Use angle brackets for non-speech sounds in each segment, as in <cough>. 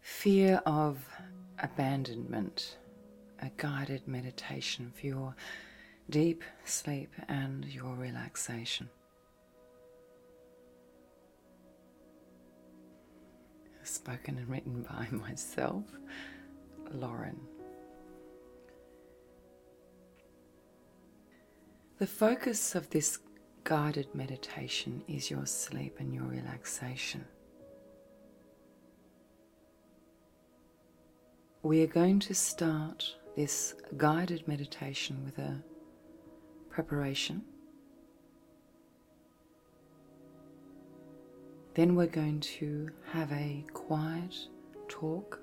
Fear of abandonment, a guided meditation for your deep sleep and your relaxation. Spoken and written <laughs> by myself, Lauren. The focus of this guided meditation is your sleep and your relaxation. We are going to start this guided meditation with a preparation. Then we're going to have a quiet talk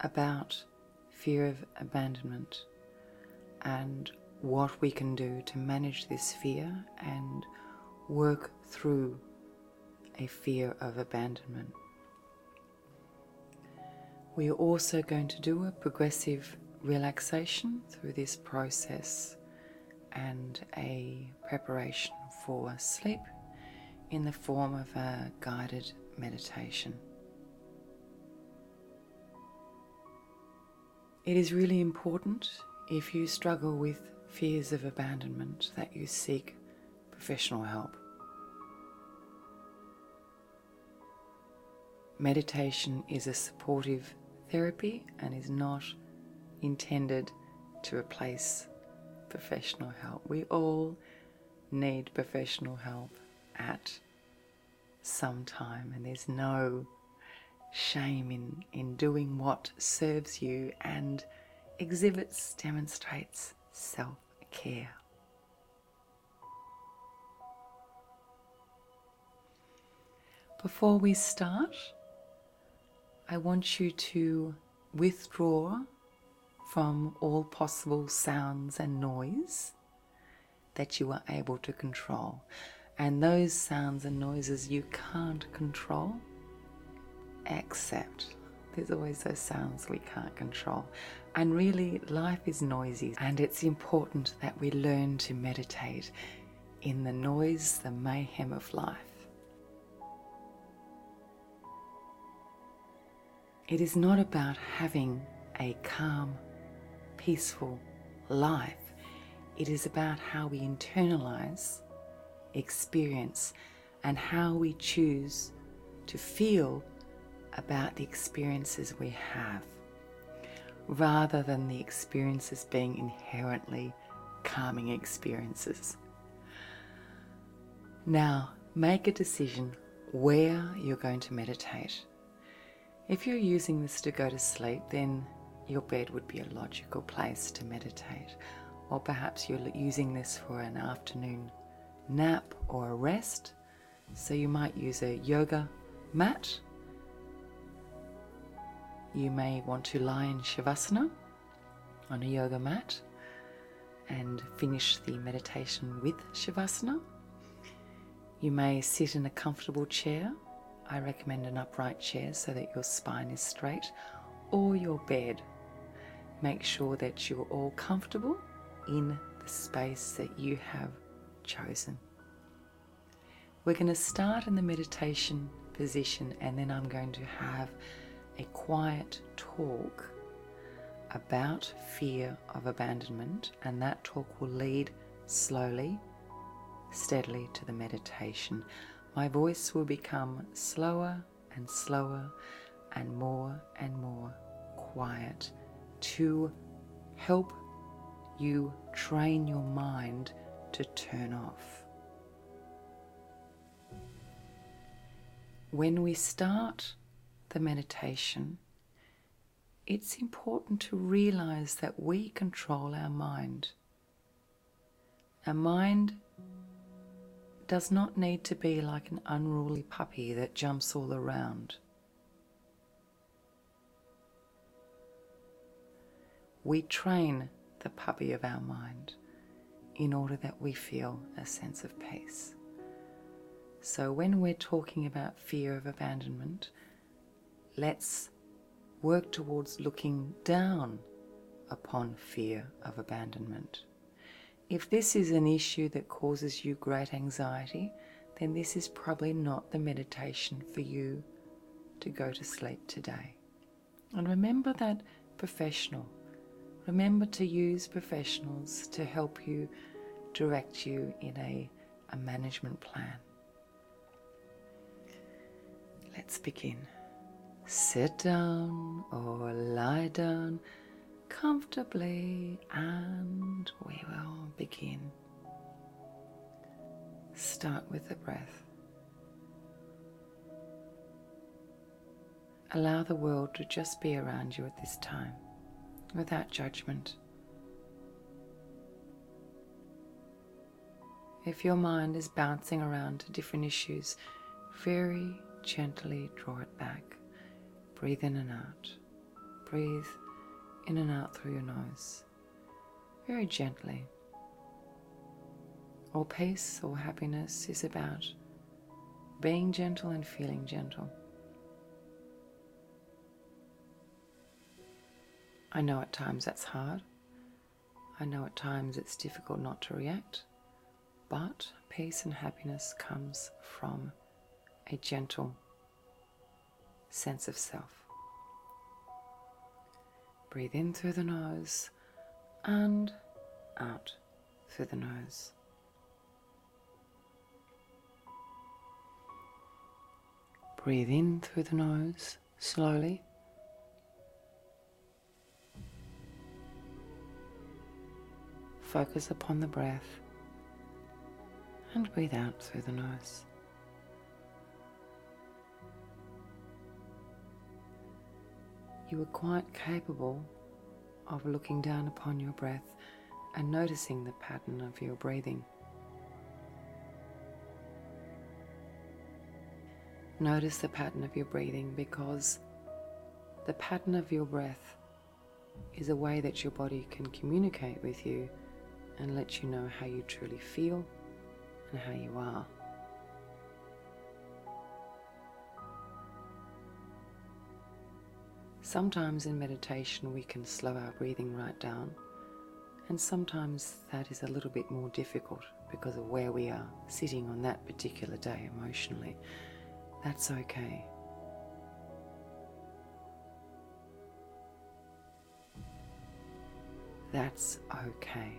about fear of abandonment and what we can do to manage this fear and work through a fear of abandonment. We are also going to do a progressive relaxation through this process and a preparation for sleep in the form of a guided meditation. It is really important if you struggle with fears of abandonment that you seek professional help. Meditation is a supportive therapy and is not intended to replace professional help. We all need professional help at sometime, and there's no shame in, in doing what serves you and exhibits, demonstrates self care. Before we start, I want you to withdraw from all possible sounds and noise that you are able to control. And those sounds and noises you can't control, accept. There's always those sounds we can't control. And really, life is noisy, and it's important that we learn to meditate in the noise, the mayhem of life. It is not about having a calm, peaceful life. It is about how we internalize, experience, and how we choose to feel about the experiences we have, rather than the experiences being inherently calming experiences. Now, make a decision where you're going to meditate. If you're using this to go to sleep, then your bed would be a logical place to meditate, or perhaps you're using this for an afternoon nap or a rest. So you might use a yoga mat. You may want to lie in Shavasana on a yoga mat and finish the meditation with Shavasana. You may sit in a comfortable chair. I recommend an upright chair so that your spine is straight, or your bed. Make sure that you're all comfortable in the space that you have chosen. We're going to start in the meditation position, and then I'm going to have a quiet talk about fear of abandonment and that talk will lead slowly, steadily to the meditation. My voice will become slower and slower and more and more quiet to help you train your mind to turn off. When we start the meditation, it's important to realize that we control our mind. Our mind does not need to be like an unruly puppy that jumps all around. We train the puppy of our mind in order that we feel a sense of peace. So, when we're talking about fear of abandonment, let's work towards looking down upon fear of abandonment. If this is an issue that causes you great anxiety, then this is probably not the meditation for you to go to sleep today. And remember that professional. Remember to use professionals to help you direct you in a a management plan. Let's begin. Sit down or lie down comfortably and we will begin. Start with the breath. Allow the world to just be around you at this time without judgment. If your mind is bouncing around to different issues, very gently draw it back. Breathe in and out. Breathe in and out through your nose. Very gently. All peace all happiness is about being gentle and feeling gentle. I know at times that's hard. I know at times it's difficult not to react, but peace and happiness comes from a gentle sense of self. Breathe in through the nose and out through the nose. Breathe in through the nose slowly. Focus upon the breath and breathe out through the nose. You are quite capable of looking down upon your breath and noticing the pattern of your breathing. Notice the pattern of your breathing because the pattern of your breath is a way that your body can communicate with you and let you know how you truly feel and how you are. Sometimes in meditation we can slow our breathing right down, and sometimes that is a little bit more difficult because of where we are sitting on that particular day emotionally. That's okay. That's okay.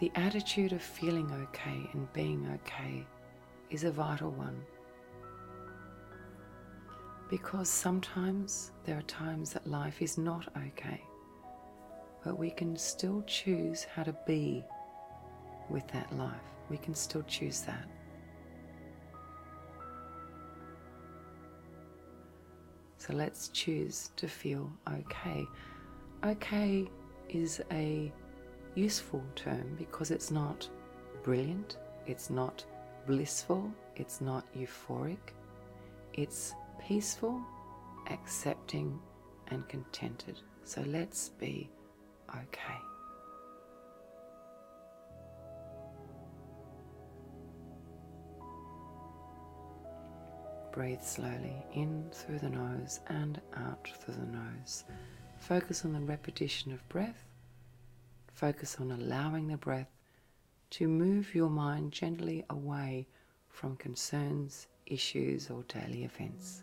The attitude of feeling okay and being okay is a vital one. Because sometimes there are times that life is not okay, but we can still choose how to be with that life. We can still choose that. So let's choose to feel okay. Okay is a useful term because it's not brilliant, it's not blissful, it's not euphoric, it's peaceful, accepting, and contented. So let's be okay. Breathe slowly in through the nose and out through the nose. Focus on the repetition of breath Focus on allowing the breath to move your mind gently away from concerns, issues, or daily events.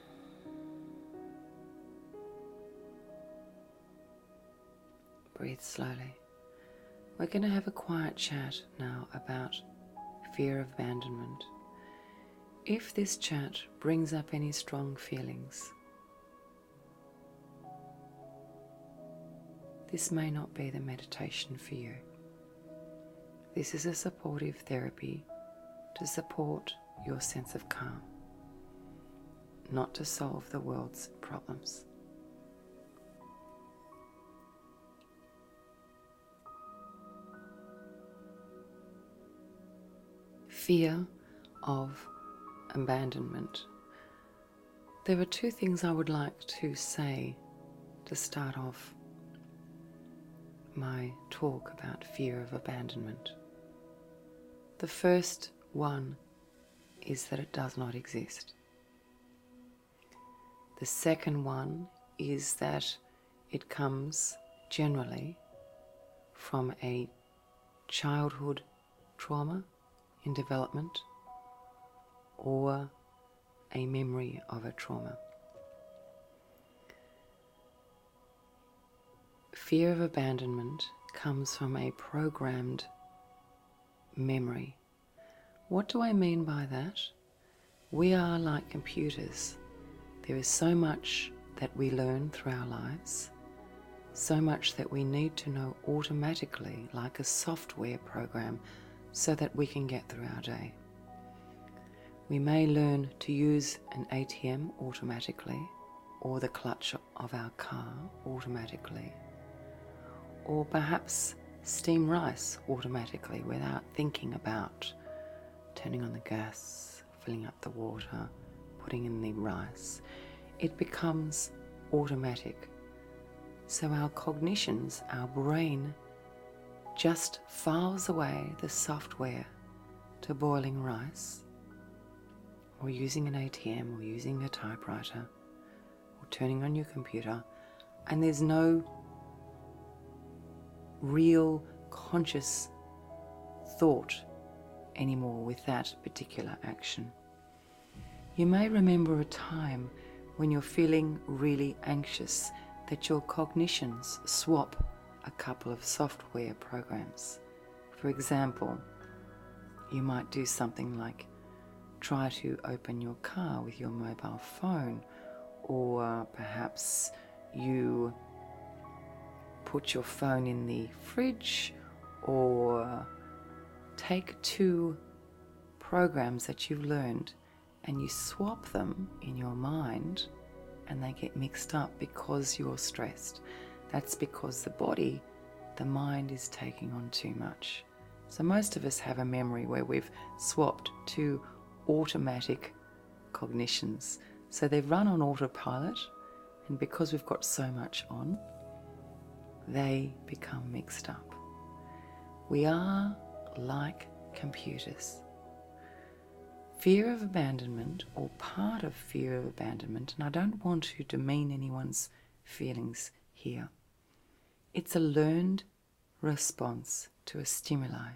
Breathe slowly. We're going to have a quiet chat now about fear of abandonment. If this chat brings up any strong feelings, this may not be the meditation for you. This is a supportive therapy to support your sense of calm, not to solve the world's problems. Fear of abandonment. There are two things I would like to say to start off my talk about fear of abandonment. The first one is that it does not exist. The second one is that it comes generally from a childhood trauma in development or a memory of a trauma. Fear of abandonment comes from a programmed memory. What do I mean by that? We are like computers. There is so much that we learn through our lives, so much that we need to know automatically, like a software program, so that we can get through our day. We may learn to use an ATM automatically or the clutch of our car automatically, or perhaps steam rice automatically without thinking about turning on the gas, filling up the water, putting in the rice. It becomes automatic. So our cognitions, our brain, just files away the software to boiling rice or using an ATM, or using a typewriter, or turning on your computer, and there's no real conscious thought anymore with that particular action. You may remember a time when you're feeling really anxious that your cognitions swap a couple of software programs. For example, you might do something like try to open your car with your mobile phone, or perhaps you put your phone in the fridge or take two programs that you've learned and you swap them in your mind and they get mixed up because you're stressed. That's because the body, the mind is taking on too much. So, most of us have a memory where we've swapped to automatic cognitions. So, they run on autopilot, and because we've got so much on, they become mixed up. We are like computers fear of abandonment or part of fear of abandonment, and I don't want to demean anyone's feelings here. It's a learned response to a stimuli.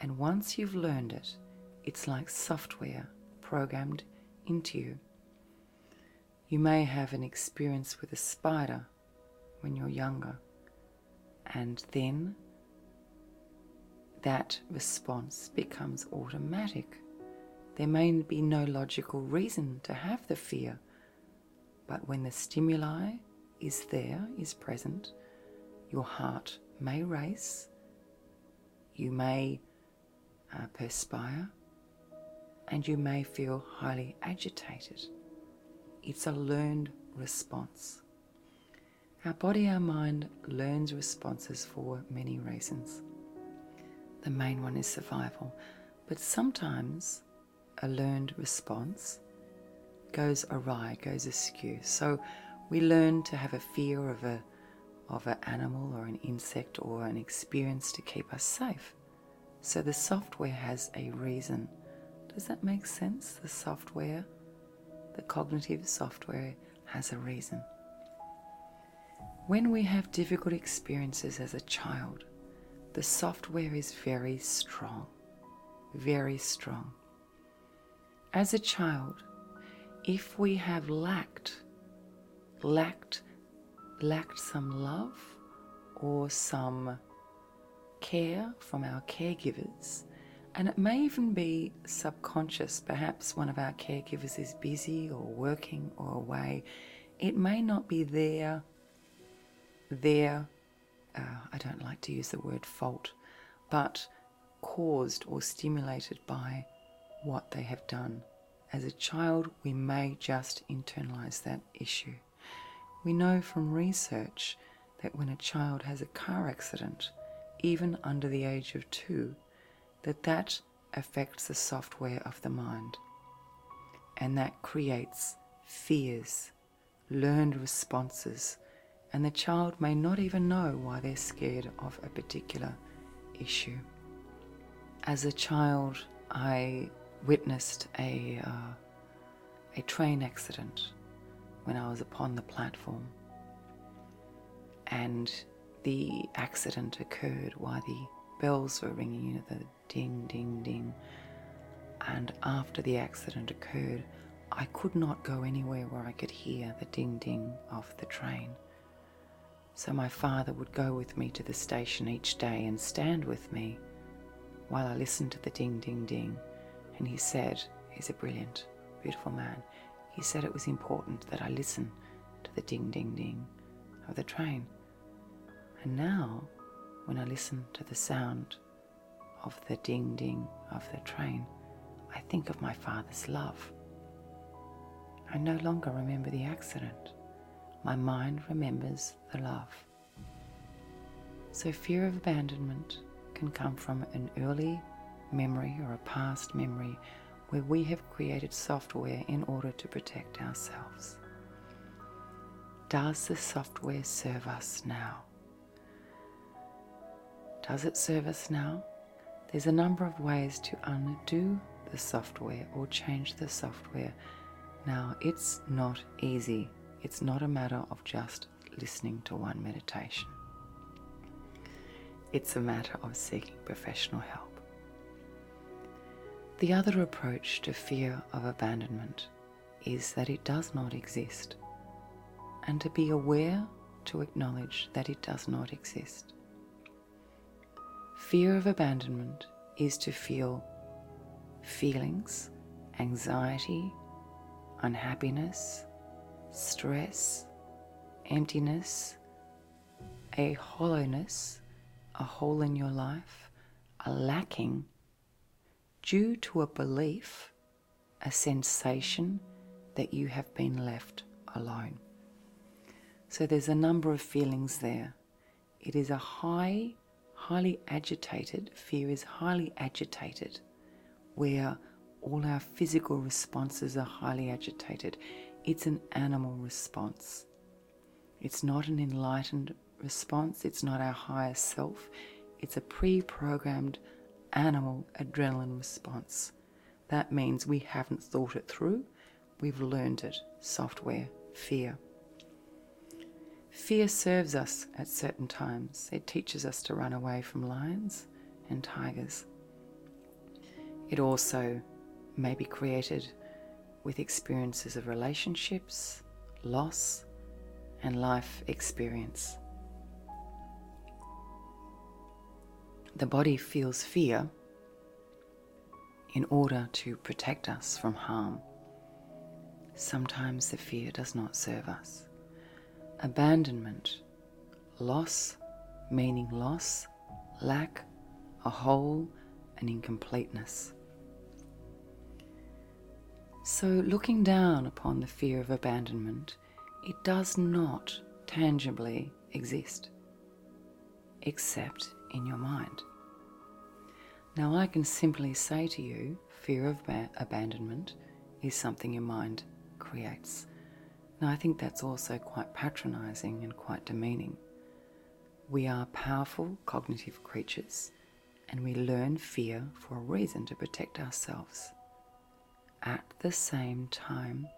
And once you've learned it, it's like software programmed into you. You may have an experience with a spider when you're younger, and then that response becomes automatic. There may be no logical reason to have the fear, but when the stimuli is there, is present, your heart may race, you may uh, perspire, and you may feel highly agitated. It's a learned response. Our body, our mind learns responses for many reasons. The main one is survival, but sometimes a learned response goes awry, goes askew. So we learn to have a fear of a of an animal or an insect or an experience to keep us safe. So the software has a reason. Does that make sense? The software, the cognitive software has a reason. When we have difficult experiences as a child, the software is very strong, very strong. As a child, if we have lacked, lacked, lacked some love or some care from our caregivers, and it may even be subconscious. Perhaps one of our caregivers is busy or working or away. It may not be there. There, uh, I don't like to use the word fault, but caused or stimulated by what they have done. As a child, we may just internalize that issue. We know from research that when a child has a car accident, even under the age of two, that that affects the software of the mind. And that creates fears, learned responses, and the child may not even know why they're scared of a particular issue. As a child, I witnessed a, uh, a train accident when I was upon the platform. And the accident occurred, why the bells were ringing, you know, the ding, ding, ding. And after the accident occurred, I could not go anywhere where I could hear the ding ding of the train. So my father would go with me to the station each day and stand with me while I listened to the ding ding ding. And he said, He's a brilliant, beautiful man he said it was important that I listen to the ding ding ding of the train. And now, when I listen to the sound of the ding ding of the train, I think of my father's love. I no longer remember the accident. My mind remembers the love. So, fear of abandonment can come from an early memory or a past memory where we have created software in order to protect ourselves. Does the software serve us now? Does it serve us now? There's a number of ways to undo the software or change the software. Now, it's not easy. It's not a matter of just listening to one meditation it's a matter of seeking professional help. The other approach to fear of abandonment is that it does not exist, and to be aware to acknowledge that it does not exist. Fear of abandonment is to feel feelings, anxiety, unhappiness, stress, emptiness, a hollowness, a hole in your life, a lacking due to a belief, a sensation that you have been left alone. So there's a number of feelings there. It is a high, highly agitated, fear is highly agitated, where all our physical responses are highly agitated. It's an animal response. It's not an enlightened response, it's not our higher self, it's a pre programmed animal adrenaline response. That means we haven't thought it through, we've learned it. Software, fear. Fear serves us at certain times. It teaches us to run away from lions and tigers. It also may be created with experiences of relationships, loss, and life experience. The body feels fear in order to protect us from harm. Sometimes the fear does not serve us. Abandonment loss, meaning loss, lack, a hole, and incompleteness. So, looking down upon the fear of abandonment, it does not tangibly exist, except in your mind. Now, I can simply say to you, fear of abandonment is something your mind creates. Now, I think that's also quite patronizing and quite demeaning. We are powerful cognitive creatures and we learn fear for a reason to protect ourselves. At the same time,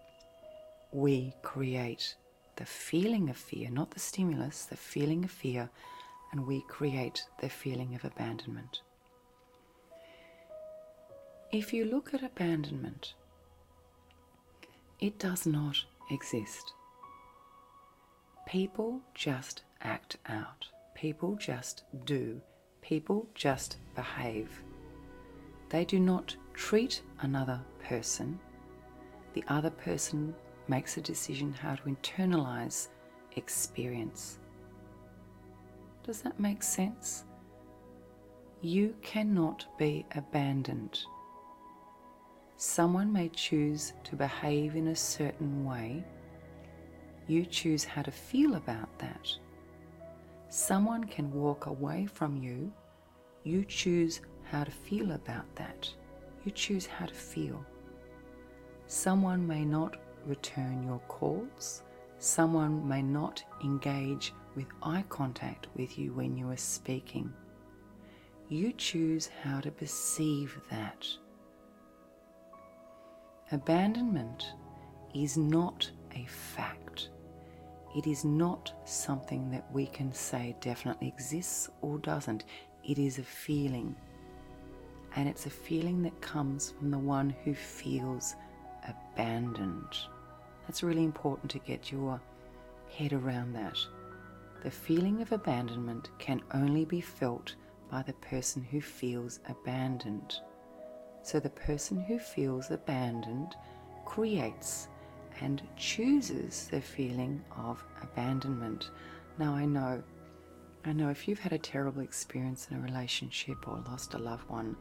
we create the feeling of fear, not the stimulus, the feeling of fear, and we create the feeling of abandonment. If you look at abandonment, it does not exist. People just act out. People just do. People just behave. They do not treat another person. The other person makes a decision how to internalize experience. Does that make sense? You cannot be abandoned. Someone may choose to behave in a certain way. You choose how to feel about that. Someone can walk away from you. You choose how to feel about that. You choose how to feel. Someone may not return your calls. Someone may not engage with eye contact with you when you are speaking. You choose how to perceive that. Abandonment is not a fact. It is not something that we can say definitely exists or doesn't. It is a feeling. And it's a feeling that comes from the one who feels abandoned. That's really important to get your head around that. The feeling of abandonment can only be felt by the person who feels abandoned. So the person who feels abandoned creates and chooses their feeling of abandonment. Now I know I know if you've had a terrible experience in a relationship or lost a loved one,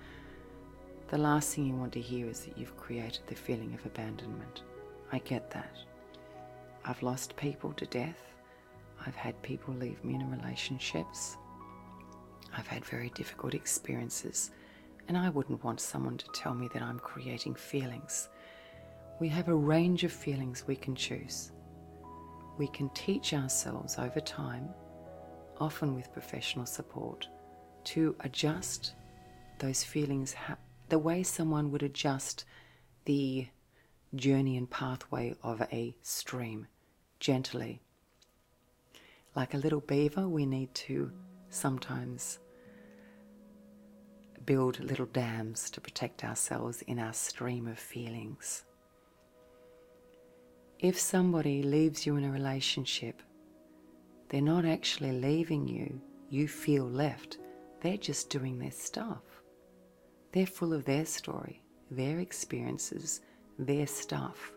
the last thing you want to hear is that you've created the feeling of abandonment. I get that. I've lost people to death. I've had people leave me in relationships. I've had very difficult experiences, and I wouldn't want someone to tell me that I'm creating feelings. We have a range of feelings we can choose. We can teach ourselves over time, often with professional support, to adjust those feelings, the way someone would adjust the journey and pathway of a stream gently. Like a little beaver, we need to sometimes build little dams to protect ourselves in our stream of feelings. If somebody leaves you in a relationship they're not actually leaving you, you feel left. They're just doing their stuff. They're full of their story, their experiences, their stuff.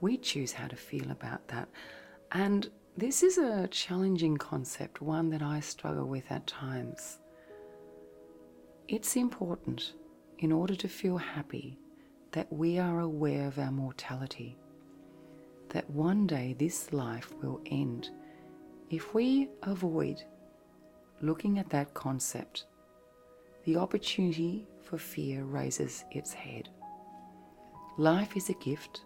We choose how to feel about that. And this is a challenging concept, one that I struggle with at times. It's important in order to feel happy that we are aware of our mortality, that one day this life will end if we avoid looking at that concept, the opportunity for fear raises its head. Life is a gift,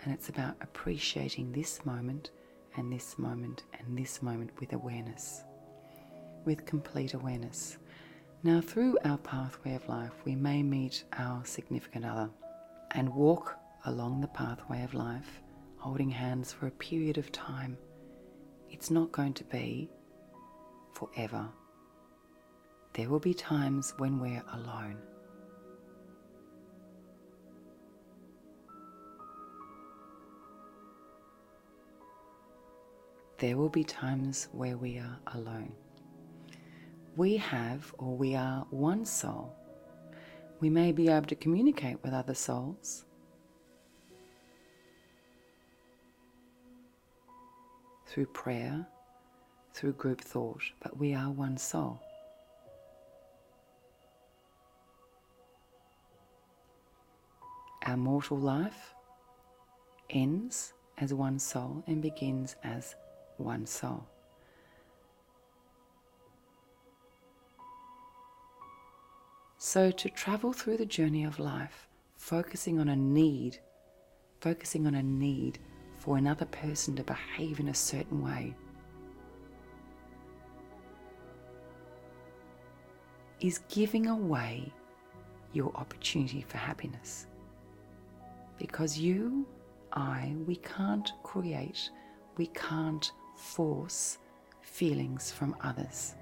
and it's about appreciating this moment and this moment and this moment with awareness, with complete awareness. Now, through our pathway of life, we may meet our significant other and walk along the pathway of life holding hands for a period of time. It's not going to be forever. There will be times when we're alone. There will be times where we are alone. We have or we are one soul. We may be able to communicate with other souls. Through prayer, through group thought, but we are one soul. Our mortal life ends as one soul and begins as one soul. So, to travel through the journey of life, focusing on a need, focusing on a need for another person to behave in a certain way, is giving away your opportunity for happiness. Because you, I, we can't create, we can't force feelings from others.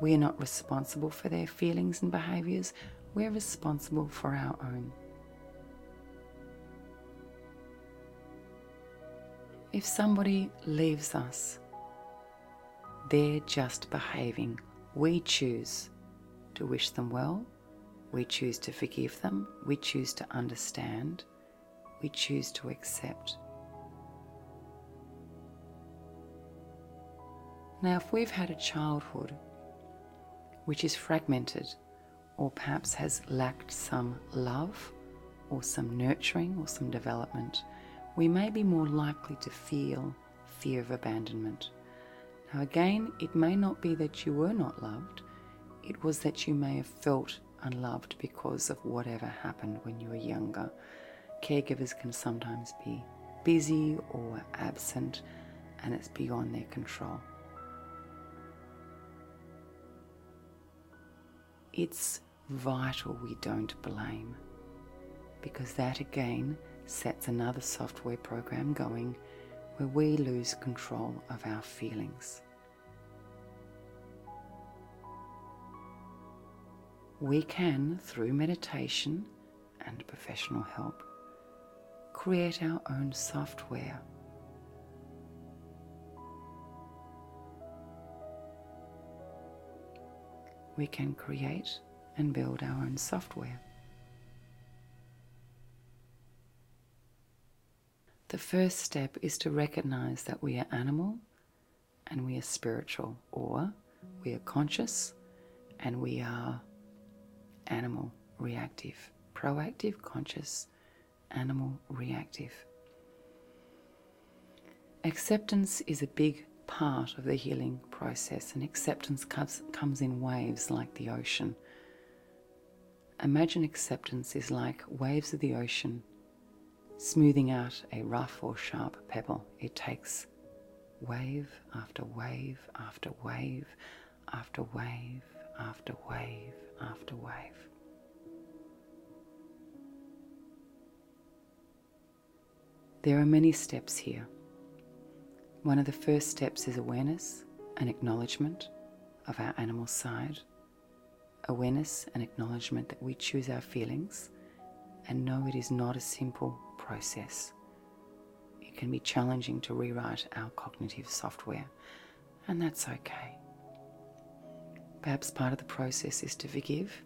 We are not responsible for their feelings and behaviors, we're responsible for our own. If somebody leaves us, they're just behaving. We choose to wish them well. We choose to forgive them. We choose to understand. We choose to accept. Now, if we've had a childhood which is fragmented or perhaps has lacked some love or some nurturing or some development, we may be more likely to feel fear of abandonment. Now, again, it may not be that you were not loved, it was that you may have felt unloved because of whatever happened when you were younger. Caregivers can sometimes be busy or absent, and it's beyond their control. It's vital we don't blame, because that again sets another software program going where we lose control of our feelings. We can, through meditation and professional help, create our own software we can create and build our own software. The first step is to recognize that we are animal and we are spiritual, or we are conscious and we are animal reactive, proactive, conscious, animal reactive. Acceptance is a big part of the healing process, and acceptance comes, in waves like the ocean. Imagine acceptance is like waves of the ocean smoothing out a rough or sharp pebble. It takes wave after wave after wave after wave after wave after wave. There are many steps here. One of the first steps is awareness and acknowledgement of our animal side. Awareness and acknowledgement that we choose our feelings and know it is not a simple process. It can be challenging to rewrite our cognitive software, and that's okay. Perhaps part of the process is to forgive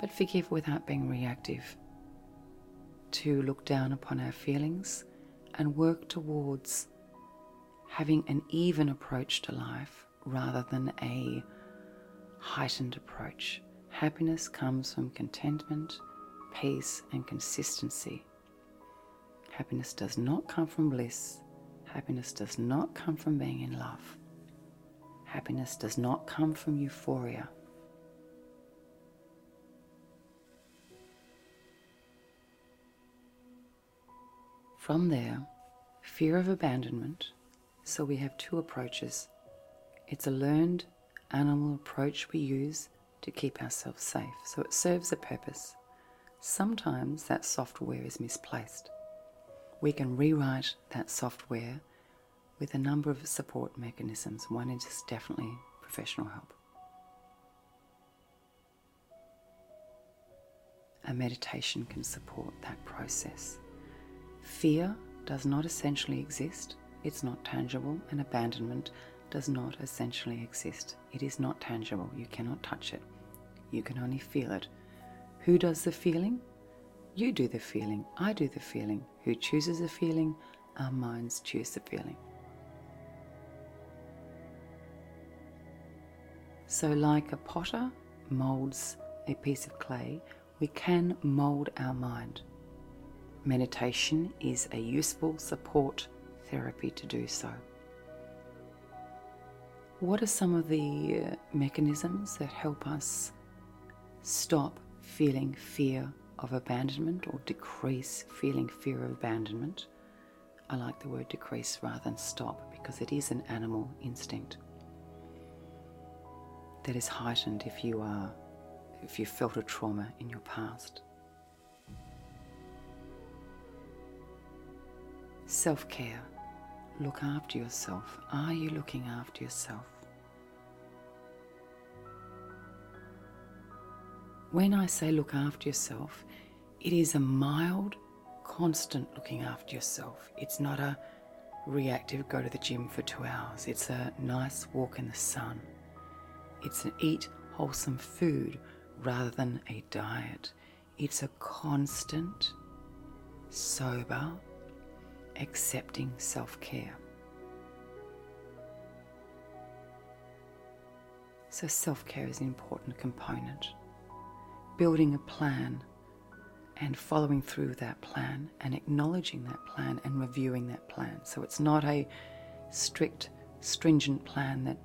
but forgive without being reactive. To look down upon our feelings and work towards having an even approach to life rather than a heightened approach. Happiness comes from contentment, peace, and consistency. Happiness does not come from bliss. Happiness does not come from being in love. Happiness does not come from euphoria. From there, fear of abandonment. So we have two approaches. It's a learned animal approach we use to keep ourselves safe. So it serves a purpose sometimes that software is misplaced. We can rewrite that software with a number of support mechanisms. One is definitely professional help. A meditation can support that process. Fear does not essentially exist, it's not tangible, and abandonment does not essentially exist, it is not tangible. You cannot touch it. You can only feel it. Who does the feeling? You do the feeling. I do the feeling. Who chooses the feeling? Our minds choose the feeling. So, like a potter molds a piece of clay, we can mold our mind. Meditation is a useful support therapy to do so. What are some of the mechanisms that help us stop feeling fear of abandonment or decrease feeling fear of abandonment? I like the word decrease rather than stop because it is an animal instinct that is heightened if you are if you felt a trauma in your past. Self care. Look after yourself. Are you looking after yourself? When I say look after yourself, it is a mild, constant looking after yourself. It's not a reactive go to the gym for two hours. It's a nice walk in the sun. It's an eat wholesome food rather than a diet. It's a constant, sober, accepting self care. So, self care is an important component. Building a plan and following through that plan and acknowledging that plan and reviewing that plan. So, it's not a strict, stringent plan that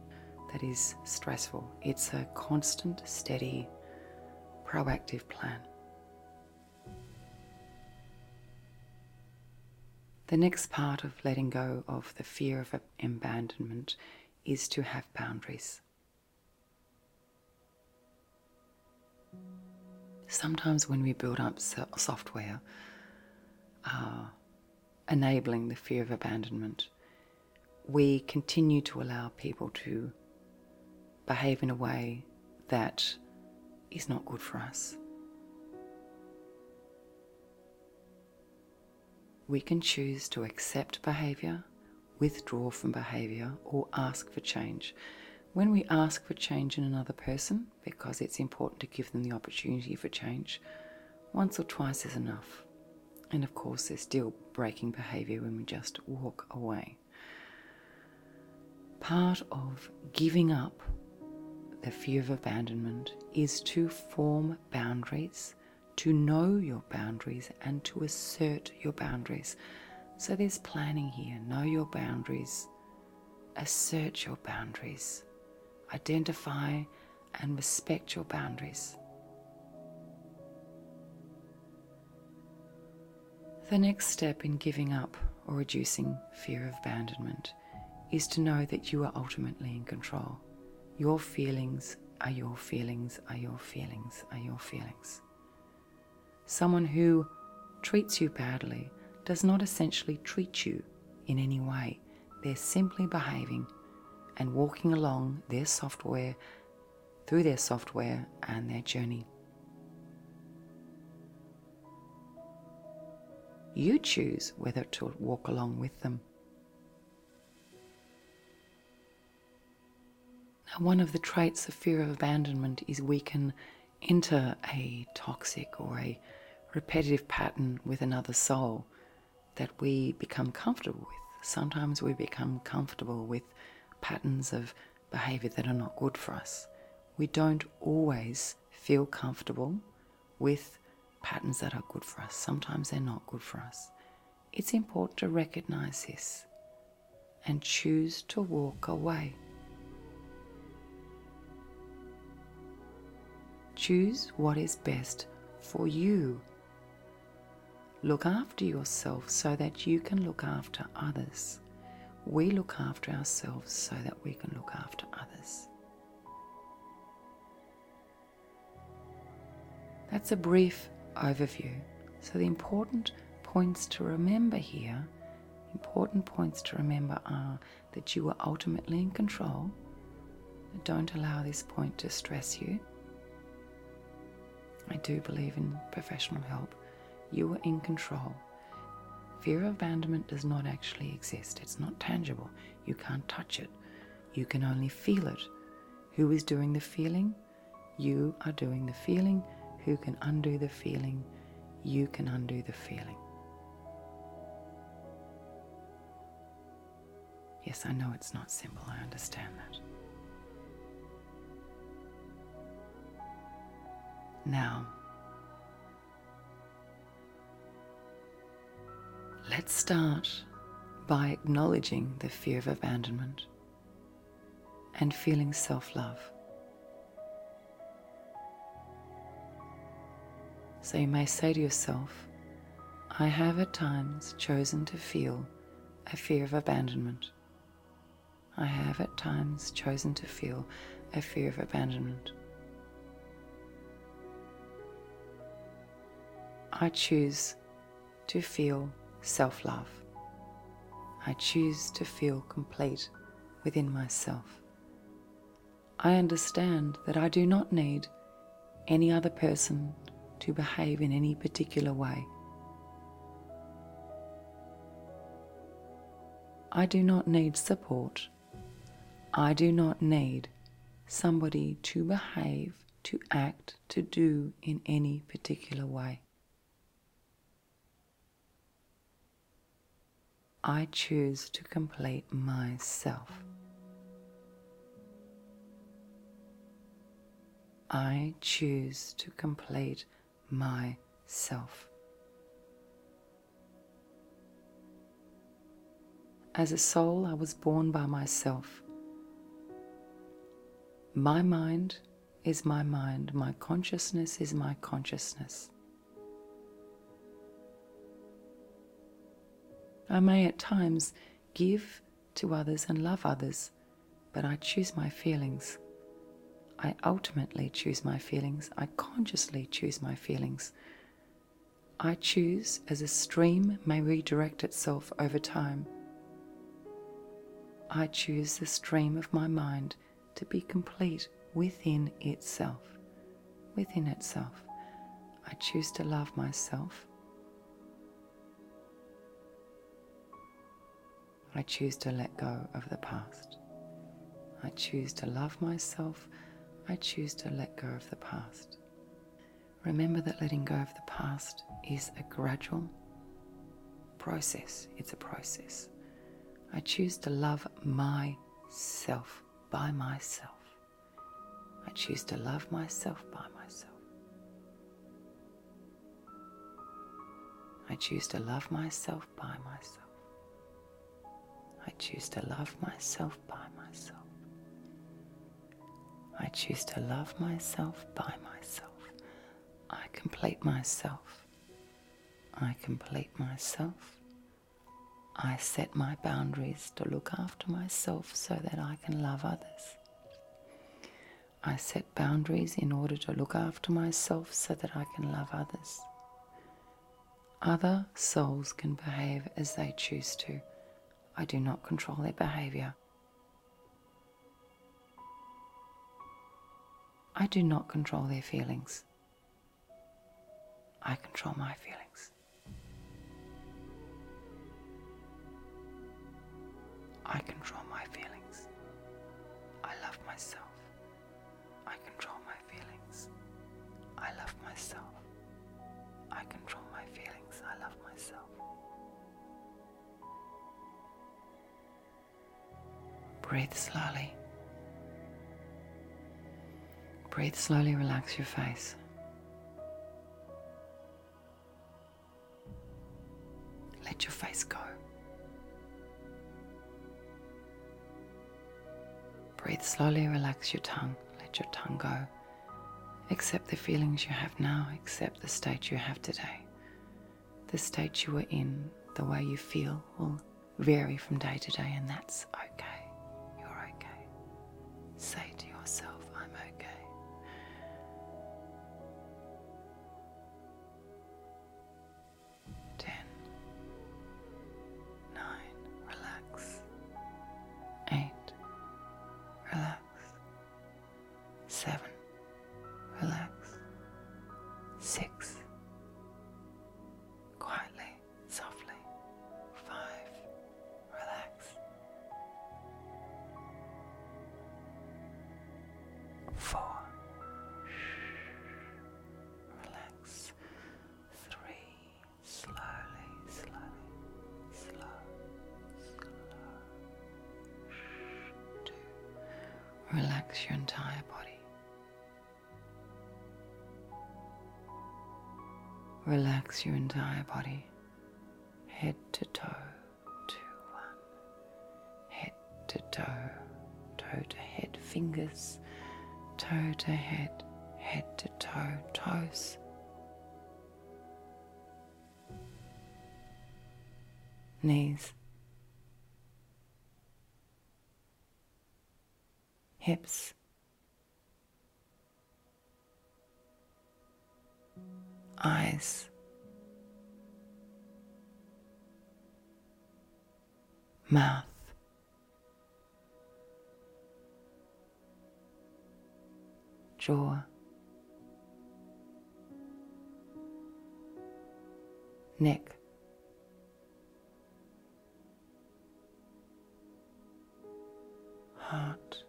that is stressful. It's a constant, steady, proactive plan. The next part of letting go of the fear of abandonment is to have boundaries. Sometimes, when we build up software uh, enabling the fear of abandonment, we continue to allow people to behave in a way that is not good for us. We can choose to accept behaviour, withdraw from behaviour, or ask for change. When we ask for change in another person, because it's important to give them the opportunity for change, once or twice is enough. And of course, there's still breaking behavior when we just walk away. Part of giving up the fear of abandonment is to form boundaries, to know your boundaries, and to assert your boundaries. So there's planning here. Know your boundaries, assert your boundaries, identify and respect your boundaries. The next step in giving up or reducing fear of abandonment is to know that you are ultimately in control. Your feelings are your feelings, are your feelings, are your feelings. Someone who treats you badly does not essentially treat you in any way. They're simply behaving and walking along their software through their software and their journey. You choose whether to walk along with them. Now, one of the traits of fear of abandonment is we can enter a toxic or a repetitive pattern with another soul that we become comfortable with. Sometimes we become comfortable with patterns of behavior that are not good for us. We don't always feel comfortable with patterns that are good for us. Sometimes they're not good for us. It's important to recognize this and choose to walk away. Choose what is best for you Look after yourself so that you can look after others. We look after ourselves so that we can look after others. That's a brief overview. So, the important points to remember here, important points to remember are that you are ultimately in control. Don't allow this point to stress you. I do believe in professional help. You are in control. Fear of abandonment does not actually exist, it's not tangible. You can't touch it, you can only feel it. Who is doing the feeling? You are doing the feeling. Who can undo the feeling? You can undo the feeling. Yes, I know it's not simple, I understand that. Now, let's start by acknowledging the fear of abandonment and feeling self love. So you may say to yourself, I have at times chosen to feel a fear of abandonment. I have at times chosen to feel a fear of abandonment. I choose to feel self love. I choose to feel complete within myself. I understand that I do not need any other person to behave in any particular way. I do not need support. I do not need somebody to behave, to act, to do in any particular way. I choose to complete myself. I choose to complete myself. As a soul, I was born by myself. My mind is my mind, my consciousness is my consciousness. I may at times give to others and love others, but I choose my feelings. I ultimately choose my feelings. I consciously choose my feelings. I choose as a stream may redirect itself over time. I choose the stream of my mind to be complete within itself. Within itself. I choose to love myself. I choose to let go of the past. I choose to love myself. I choose to let go of the past. Remember that letting go of the past is a gradual process. It's a process. I choose to love my self by myself. I choose to love myself by myself. I choose to love myself by myself. I choose to love myself by myself. I choose to love myself by myself. I complete myself. I complete myself. I set my boundaries to look after myself so that I can love others. I set boundaries in order to look after myself so that I can love others. Other souls can behave as they choose to. I do not control their behavior. I do not control their feelings. I control my feelings. I control my feelings. I love myself. I control my feelings. I love myself. I control my feelings. I love myself. Breathe slowly. Breathe slowly, relax your face. Let your face go. Breathe slowly, relax your tongue, let your tongue go. Accept the feelings you have now, accept the state you have today. The state you were in, the way you feel will vary from day to day, and that's okay. You're okay. Say to yourself, I'm okay. Ten, nine, relax. Eight, relax. Seven, relax. Six, quietly, softly. Five, relax four, relax, three, slowly, slowly, slow, slow, two, relax your entire body. Relax your entire body, head to toe two, one. Head to toe, toe to head, fingers, toe to head, head to toe, toes. Knees, hips, eyes. Mouth. Jaw. Neck. Heart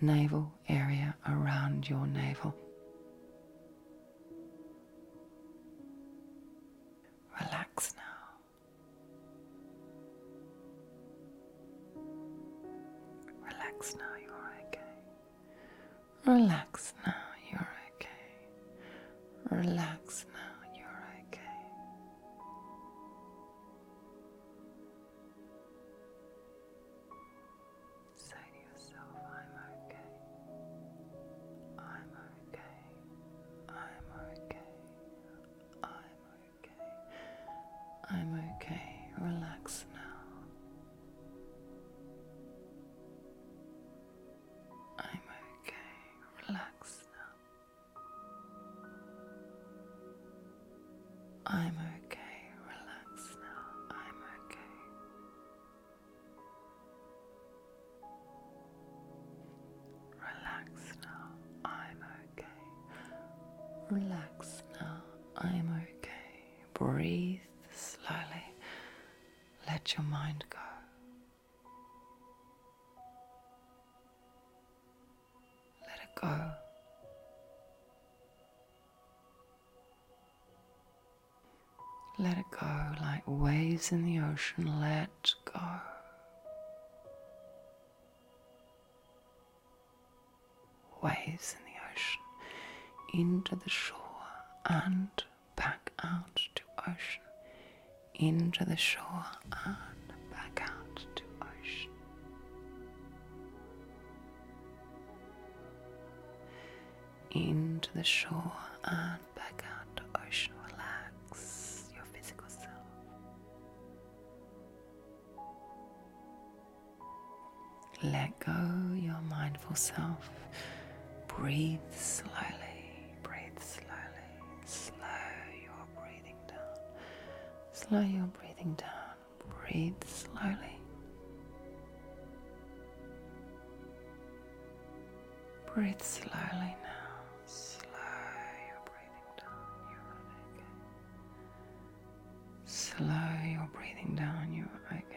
navel area around your navel. Relax now. Relax now, you're okay. Relax now, you're okay. Relax now, you're okay. Say to yourself, I'm okay. I'm okay. I'm okay. I'm okay. I'm okay. Relax now. I'm okay. Relax now. I'm okay. Relax now. I'm okay. Relax now. I'm okay. Relax now. I'm okay. Breathe slowly. Let your mind go. Let it go. Let it go like waves in the ocean. Let go. Waves in the ocean into the shore and back out to ocean. Into the shore and back out to ocean. Into the shore and back out to ocean. Relax your physical self. Let go your mindful self. Breathe slowly, breathe slowly, slow your breathing. Slow your breathing down. Breathe slowly. Breathe slowly now. Slow your breathing down. You're okay. Slow your breathing down. You're okay.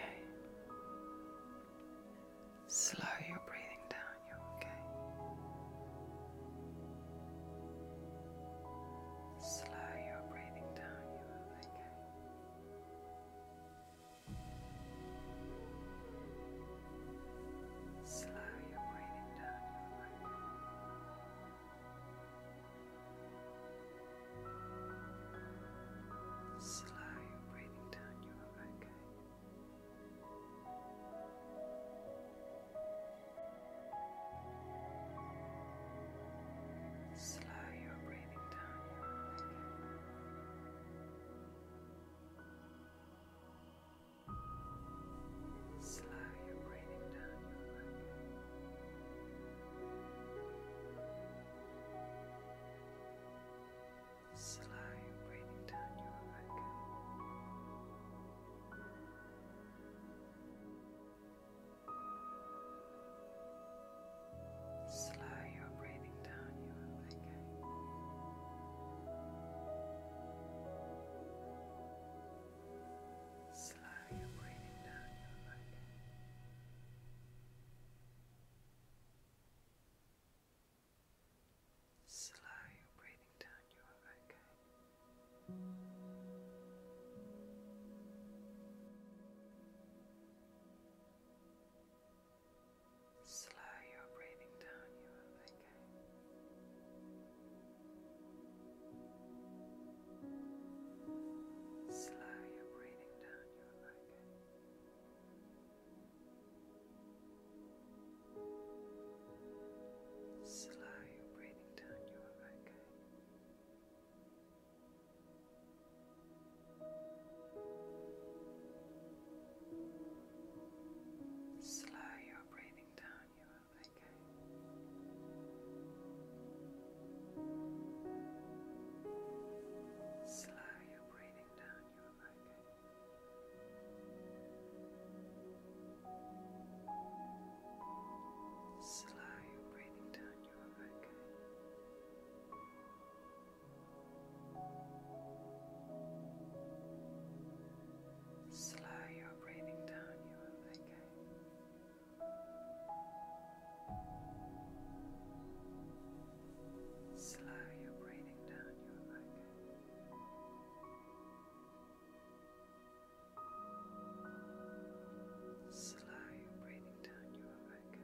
Slow your breathing down. You're okay. Slow your breathing down, you are okay. Slow your breathing down, you are okay. Slow your breathing down, you are okay. Slow your breathing down Slow your breathing down Slow your breathing down Slow your breathing down, you are okay. Slow your breathing down, you are okay. Slow your breathing sitting down, you are okay. Slow your breathing down, you are okay. Slow your breathing down, you are okay. Slow your breathing writing down you are okay. Slow your breathing down, you are okay. Slow your breathing down, you are okay. Slow your breathing down, you are okay. Slow your breathing down, you are okay. Slow your breathing down, you are okay. Slow breathing down You are back.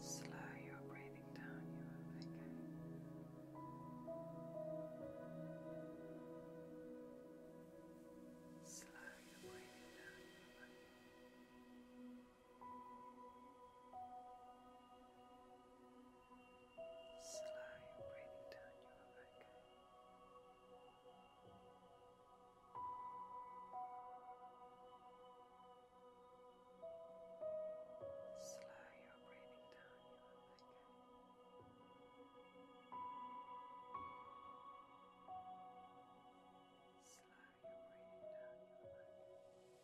Slow your breathing down your back. Slow your breathing down your back. Slow breathing down your back. Slow your breathing down your back. Slow your breathing down your back.